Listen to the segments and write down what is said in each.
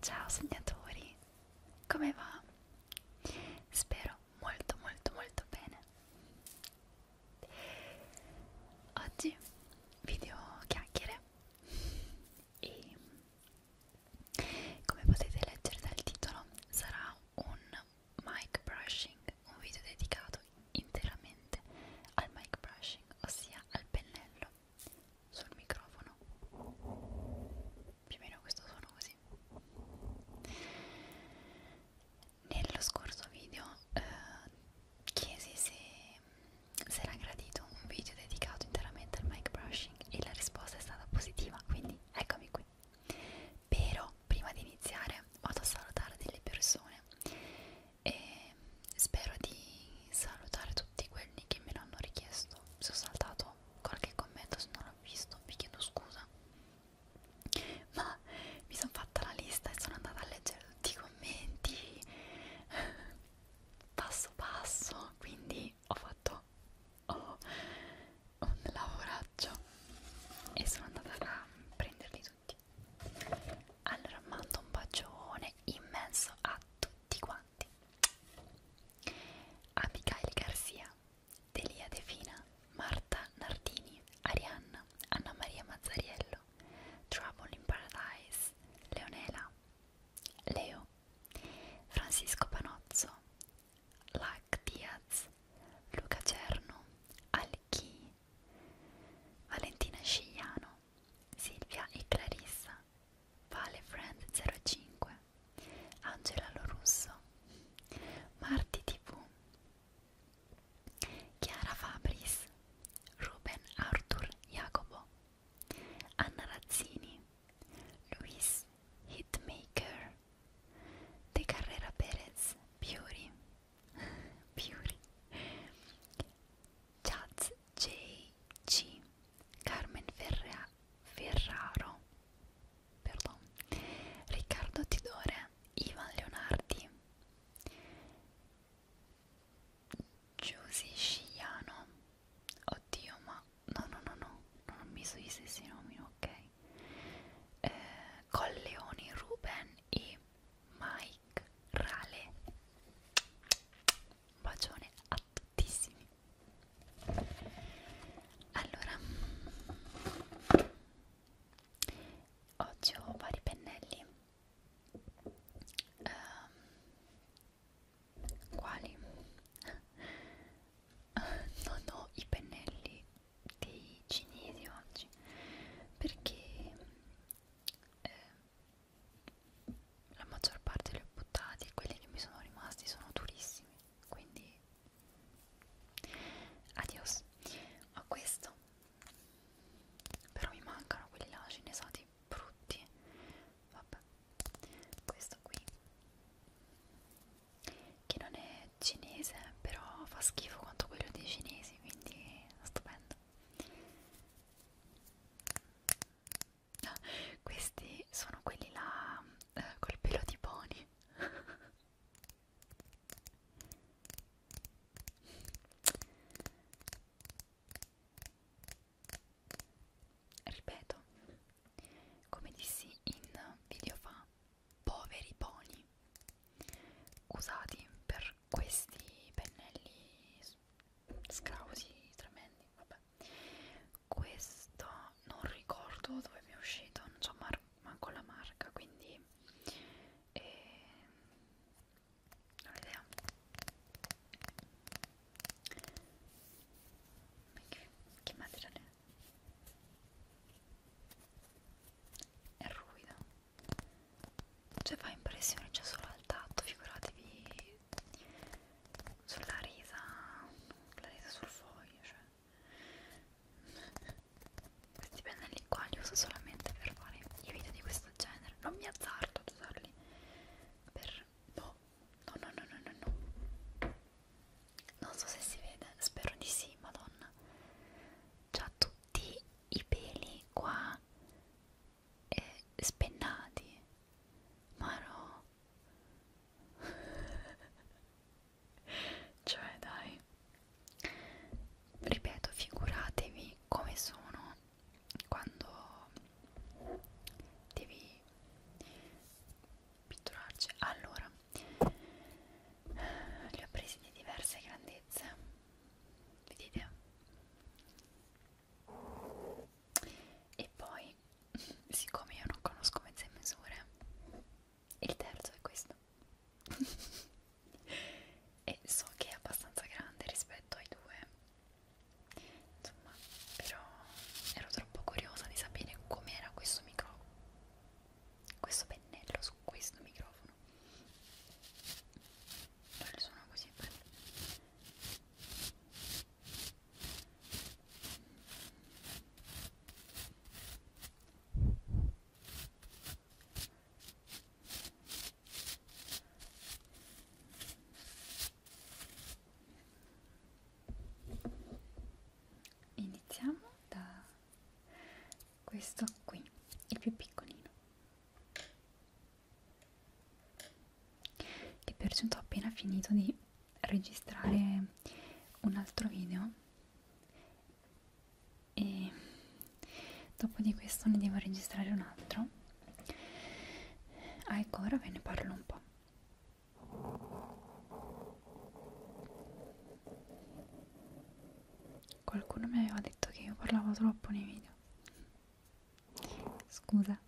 Ciao sognatori, come va? Spero molto molto molto bene. Oggi video chiacchiere e come potete leggere dal titolo, sarà un mic brushing, un video dedicato interamente al mic brushing, ossia al pennello sul microfono. Più o meno questo suono così. Nello scorso video eh, chiesi se, se era gradito un video dedicato interamente al mic brushing e la risposta è stata positiva, quindi eccomi qui. Però prima di iniziare vado a salutare delle persone e spero di salutare tutti quelli che me l'hanno richiesto. Se ho saltato qualche commento, se non l'ho visto, vi chiedo scusa. Ma mi sono fatta la lista e sono andata a leggere tutti i commenti passo passo, quindi quindi ho fatto oh, un lavoraccio e sono andata a prenderli tutti allora mando un bacione immenso a tutti quanti a Michele Garcia Delia De Fina Marta Nardini Arianna Anna Maria Mazzariello Trouble in Paradise Leonela Leo Francisco Panozzo Lac Diaz, Luca Cerno, Alchi, Valentina Scigliano, Silvia e Clarissa, Vale Friend 05, Angela Lorusso, Marti TV, Chiara Fabris, Ruben Arthur Jacopo, Anna Razzini, Luis Hitmaker De Carrera Perez Beauty Beauty Chaz J.C. Carmen Ferrea, Ferraro Perdon. Riccardo Tidore Ivan Leonardi Giusy Sciano Oddio ma no no no no non ho messo gli stessi nomi ok eh, Colleoni Ruben e Mike Rale un bacione a tuttissimi allora oggi ho vari pennelli um, quali? non ho i pennelli dei cinesi oggi perché eh, la maggior parte li ho buttati e quelli che mi sono rimasti sono durissimi quindi adios ho questo però mi mancano quelli là cinesati brutti vabbè questo qui che non è cinese però fa schifo quanto quello dei cinesi quindi stupendo no, questi sono quelli là eh, col pelo di pony ripeto come dissi in video fa poveri pony usati per questi pennelli scrausi tremendi vabbè questo non ricordo dove mi è uscito non so manco la marca quindi eh, non ho idea Peki, kim materiali? È ruvido. Cioè fa impressione già solo al tatto, figuratevi sulla resa, la resa sul foglio, cioè. Questi pennelli qua li uso solamente per fare i video di questo genere, non mi azzardo ad usarli per boh, no no no no no no non so se si vede, spero di sì, madonna c'ha tutti i peli qua eh, spennati ma no cioè dai ripeto figuratevi come sono quando devi pitturarci allora li ho presi di diverse grandezze vedete e poi siccome io non conosco mezze misure il terzo è questo e so che è abbastanza grande rispetto ai due insomma però ero troppo curiosa di sapere com'era questo microfono questo pennello su questo microfono non il suono così bello iniziamo da questo qui il più piccolino che per ho appena finito di registrare un altro video e dopo di questo ne devo registrare un altro ah ecco ora ve ne parlo un po' Qualcuno mi aveva detto che io parlavo troppo nei video. Scusa.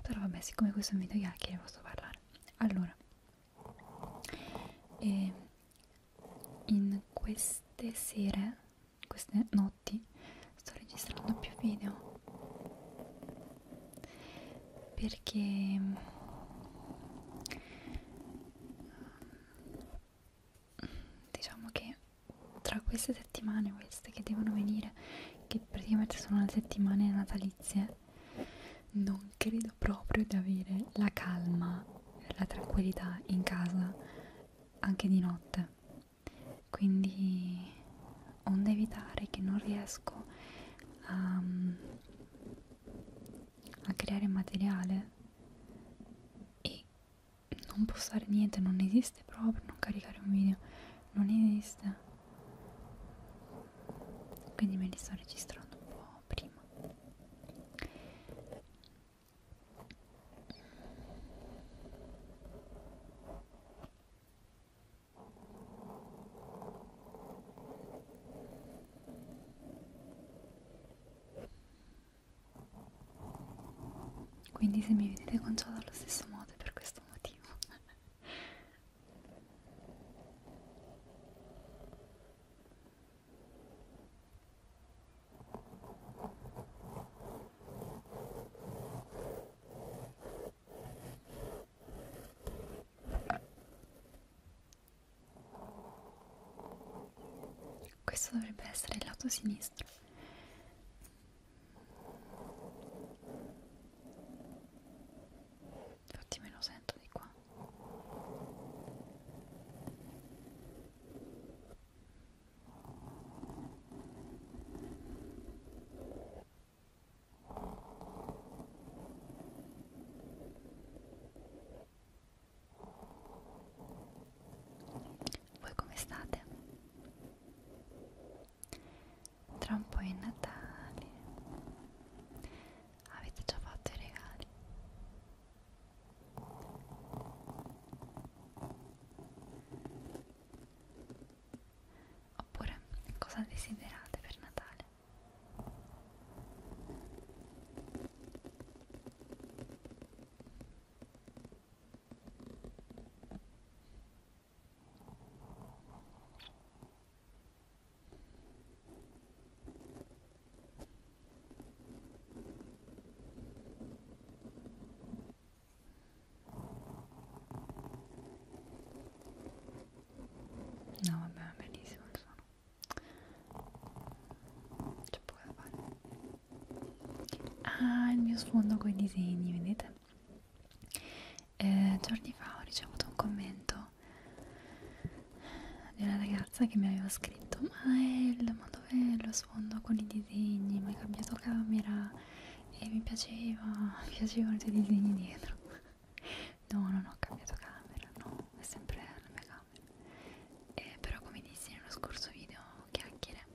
Però vabbè, siccome questo è un video chiacchiere posso parlare. Allora, ehm, in queste sere queste notti sto registrando più video perché mm, diciamo che tra queste settimane queste che devono venire che praticamente sono le settimane natalizie non credo proprio di avere la calma la tranquillità in casa anche di notte quindi onde evitare che non riesco a, mm, a creare materiale e non postare niente non esiste proprio non caricare un video non esiste quindi me li sto registrando un po' prima quindi se mi vedete conciata allo stesso modo è per questo motivo. Questo dovrebbe essere il lato sinistro. Infatti me lo sento di qua. Voi come state? Tra un po' è Natale. Avete già fatto i regali? Oppure cosa desiderate per Natale? No vabbè, bellissimo il suono. C'è poco da fare. Ah, il mio sfondo con i disegni, vedete? Eh, giorni fa ho ricevuto un commento di una ragazza che mi aveva scritto ma è il, ma dov'è lo sfondo? sfondo con i disegni, mi hai cambiato camera e mi piaceva, mi piacevano i tuoi disegni dietro. No, non ho cambiato camera, no, è sempre la mia camera. Eh, però come dissi nello scorso video, chiacchiere.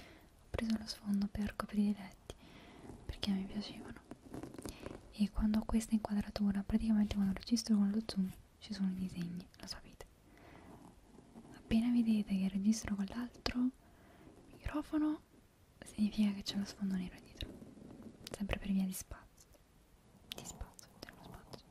Ho preso lo sfondo per coprire i letti perché mi piacevano. E quando ho questa inquadratura, praticamente quando registro con lo zoom ci sono i disegni, lo sapete. Appena vedete che registro con l'altro microfono, significa che c'è lo sfondo nero dietro, sempre per via di spazio, di spazio, dello spazio.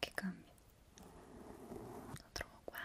che cambia? Lo trovo uguale.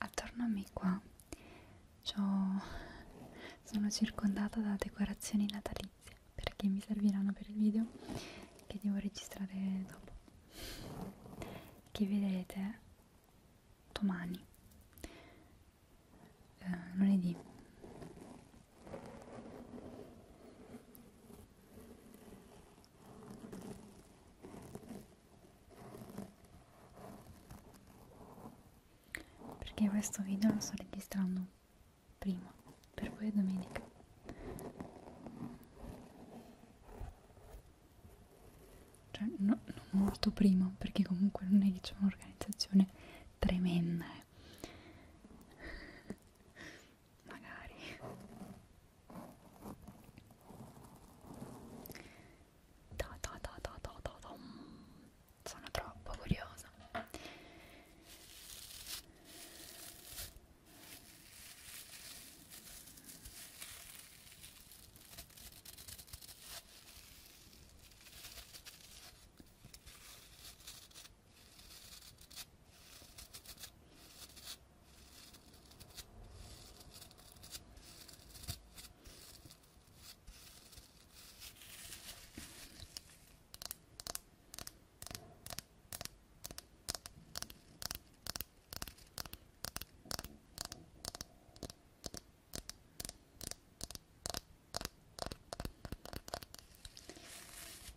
Attorno a me qua sono circondata da decorazioni natalizie perché mi serviranno per il video che devo registrare dopo che vedrete domani eh, lunedì perché questo video lo sto registrando prima per voi domenica cioè no, non molto prima perché comunque non è che c'è un'organizzazione tremenda eh magari da, da, da, da, da, da, da. sono troppo curiosa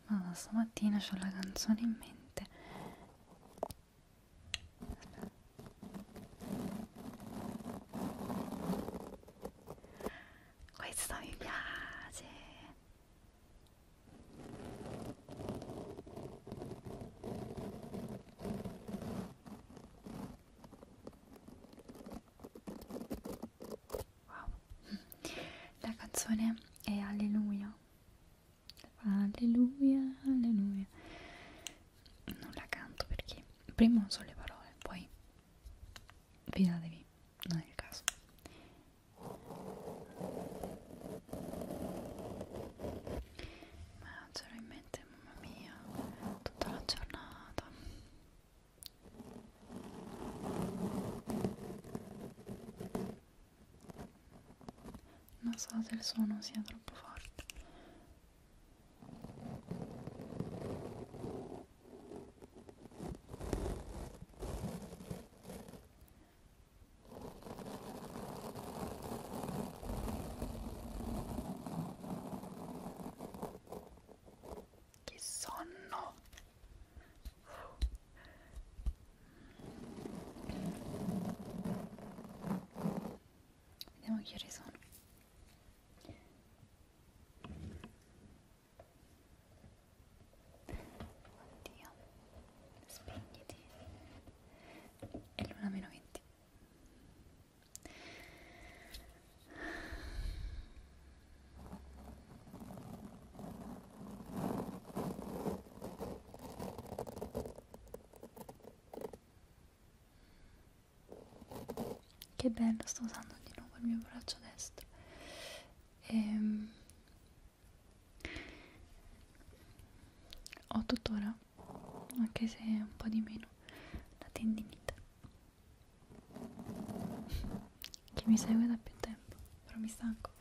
ma stamattina ho la canzone in mente questo mi piace. Wow. La canzone è Alleluia Alleluia, alleluia. Non la canto perché prima non so le parole, poi fidatevi, non è il caso. Ma c'era in mente, mamma mia, tutta la giornata non so se il suono sia troppo forte che sonno Vediamo che ore sono. Oddio, spegniti. È l'una meno 20. Che bello, sto usando di nuovo il mio braccio destro. Ehm, ho tuttora, anche se un po' di meno, la tendinite che mi segue da più tempo però mi stanco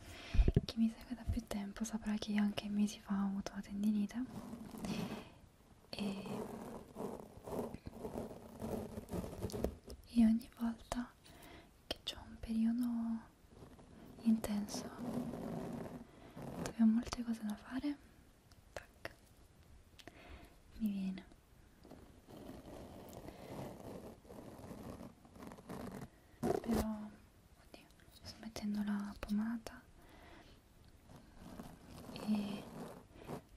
chi mi segue da più tempo saprà che io anche mesi fa ho avuto la tendinite e io ogni volta che c'ho un periodo intenso dove ho molte cose da fare tac, mi viene però Oddio, sto mettendo la pomata e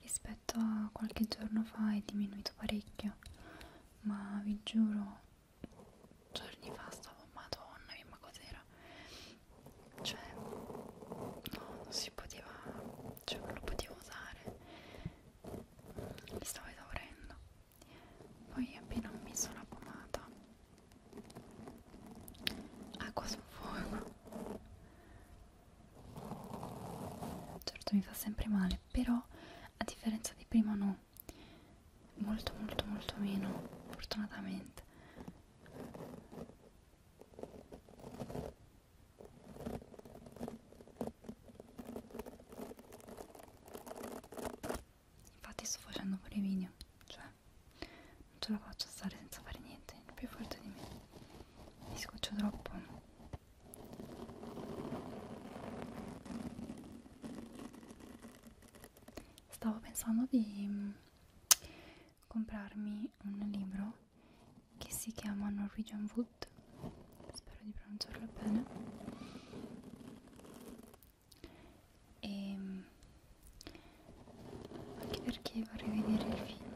rispetto a qualche giorno fa è diminuito parecchio, ma vi giuro, giorni fa stavo, madonna mia, ma cos'era? Cioè, no, non si poteva, cioè non lo potevo usare, mi stavo esaurendo poi appena ho messo la pomata acqua sul fuoco certo mi fa sempre male però a differenza di prima no molto molto molto meno fortunatamente infatti sto facendo pure i video cioè non ce la faccio stare senza fare niente è più forte di me mi scoccio troppo stavo pensando di mm, comprarmi un libro che si chiama Norwegian Wood spero di pronunciarlo bene e ehm, anche perché vorrei vedere il film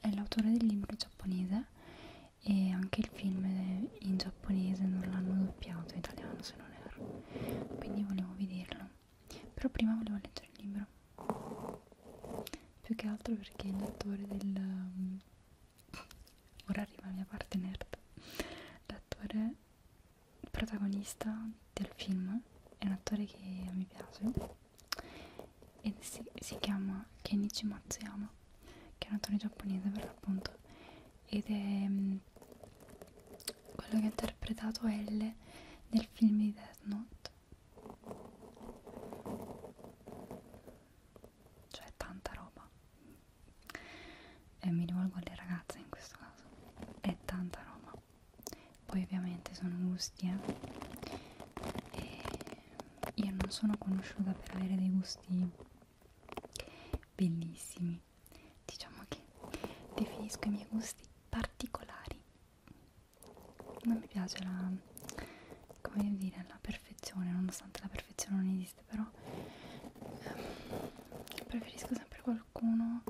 è l'autore del libro giapponese e anche il film in giapponese non l'hanno doppiato in italiano se non erro quindi volevo vederlo però prima volevo leggere il libro più che altro perché l'autore del, ora arriva la mia parte nerd l'attore protagonista del film è un attore che mi piace e si, si chiama Kenichi Matsuyama che è un attore giapponese per l'appunto ed è mm, quello che ha interpretato L nel film di Death Note cioè tanta roba e mi rivolgo alle ragazze in questo caso è tanta roba poi ovviamente sono gusti eh? e io non sono conosciuta per avere dei gusti bellissimi diciamo che definisco i miei gusti particolari non mi piace la come dire la perfezione nonostante la perfezione non esiste però ehm, preferisco sempre qualcuno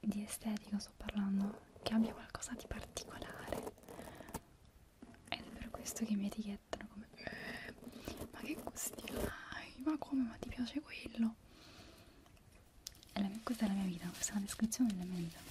di estetico sto parlando che abbia qualcosa di particolare ed è per questo che mi etichettano come eh, ma che gusti hai ma come ma ti piace quello è la mia, questa è la mia vita questa è la descrizione della mia vita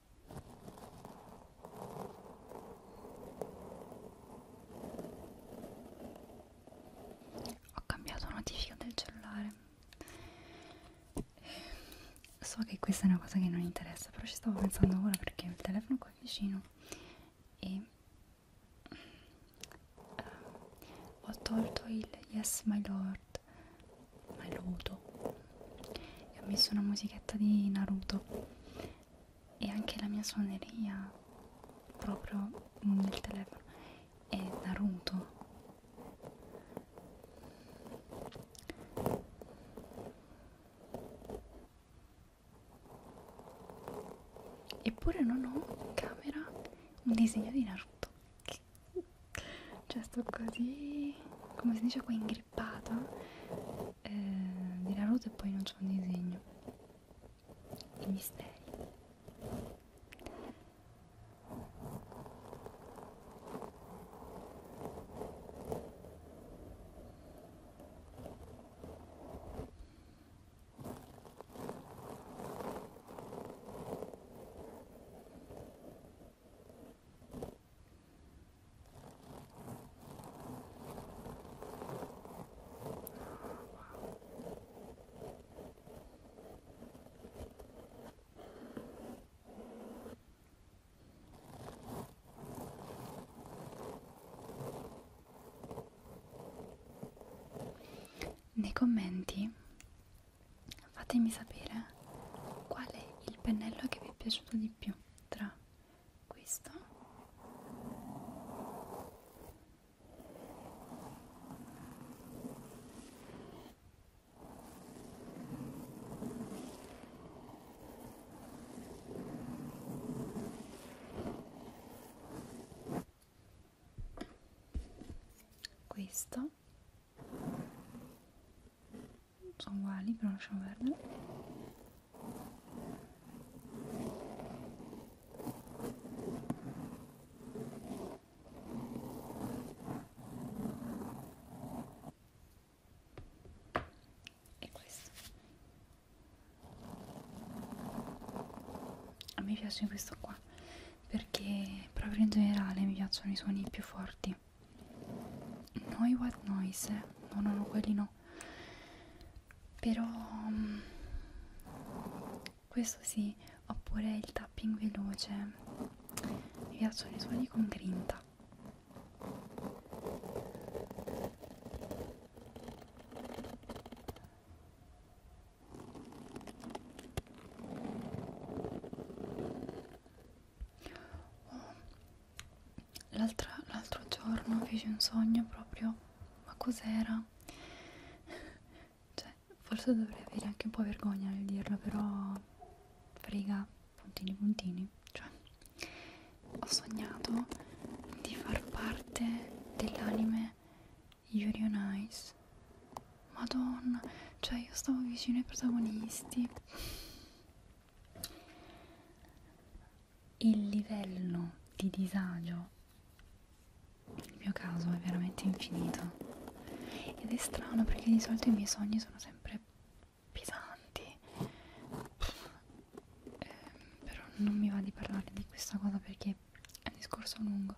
Ho cambiato notifica del cellulare. So che questa è una cosa che non interessa, però ci stavo pensando ora perché il telefono qua è vicino e uh, ho tolto il Yes My Lord, My Lodo e ho messo una musichetta di Naruto e anche la mia suoneria proprio nel telefono è Naruto eppure non ho in camera un disegno di Naruto cioè sto così come si dice qua in clippata eh, di Naruto e poi non c'è un disegno i misteri nei commenti fatemi sapere qual è il pennello che vi è piaciuto di più tra questo questo sono uguali però lasciamo perdere e questo a me piace questo qua perché proprio in generale mi piacciono i suoni più forti noi What Noise, eh? no no no quelli no però um, questo sì oppure il tapping veloce mi piacciono i suoni con grinta Oh, L'altro giorno feci un sogno proprio, ma cos'era? cioè, forse dovrei avere anche un po' vergogna nel dirlo, però frega, puntini puntini. Cioè, ho sognato di far parte dell'anime Yuri on Ice. Madonna, cioè io stavo vicino ai protagonisti il livello di disagio nel mio caso è veramente infinito ed è strano perché di solito i miei sogni sono sempre pesanti Pff, eh, però non mi va di parlare di questa cosa perché è un discorso lungo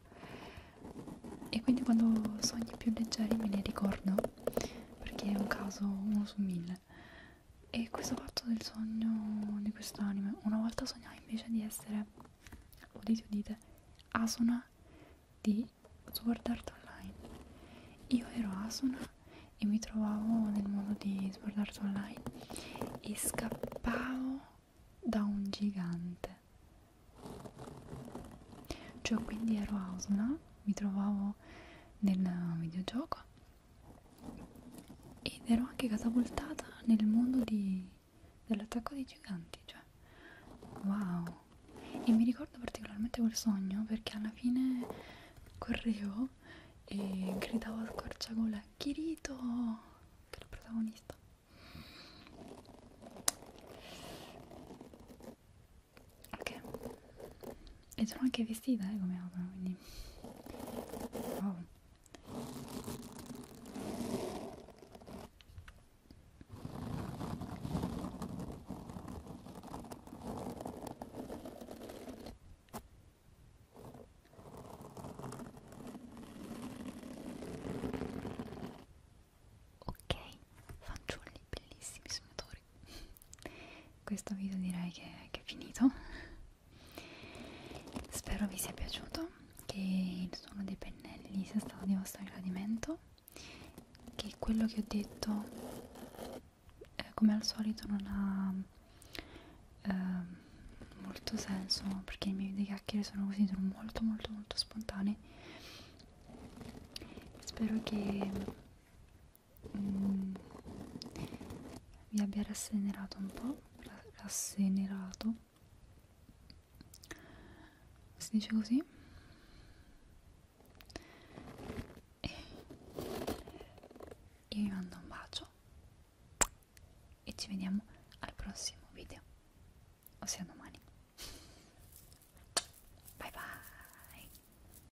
e quindi quando sogni più leggeri me li ricordo perché è un caso uno su mille dormire e questo fatto del sogno di quest'anime una volta sognai invece di essere udite udite Asuna di Sword Art Online io ero Asuna e mi trovavo nel mondo di Sword Art Online e scappavo da un gigante cioè quindi ero Asuna mi trovavo nel videogioco ed ero anche catapultata nel mondo dell'attacco dei giganti cioè wow e mi ricordo particolarmente quel sogno perché alla fine correvo e gridavo a scorciagola Kirito che è il protagonista ok e sono anche vestita eh, come auto quindi wow Ok, fanciulli bellissimi sognatori questo video direi che, che è finito spero vi sia piaciuto che il suono dei pennelli sia stato di vostro gradimento che quello che ho detto eh, come al solito non ha eh, molto senso perché i miei video chiacchiere sono così sono molto molto molto spontanei spero che mm, vi abbia rassenerato un po', rassenerato, si dice così, e io vi mando un bacio e ci vediamo al prossimo video, ossia domani. Bye bye!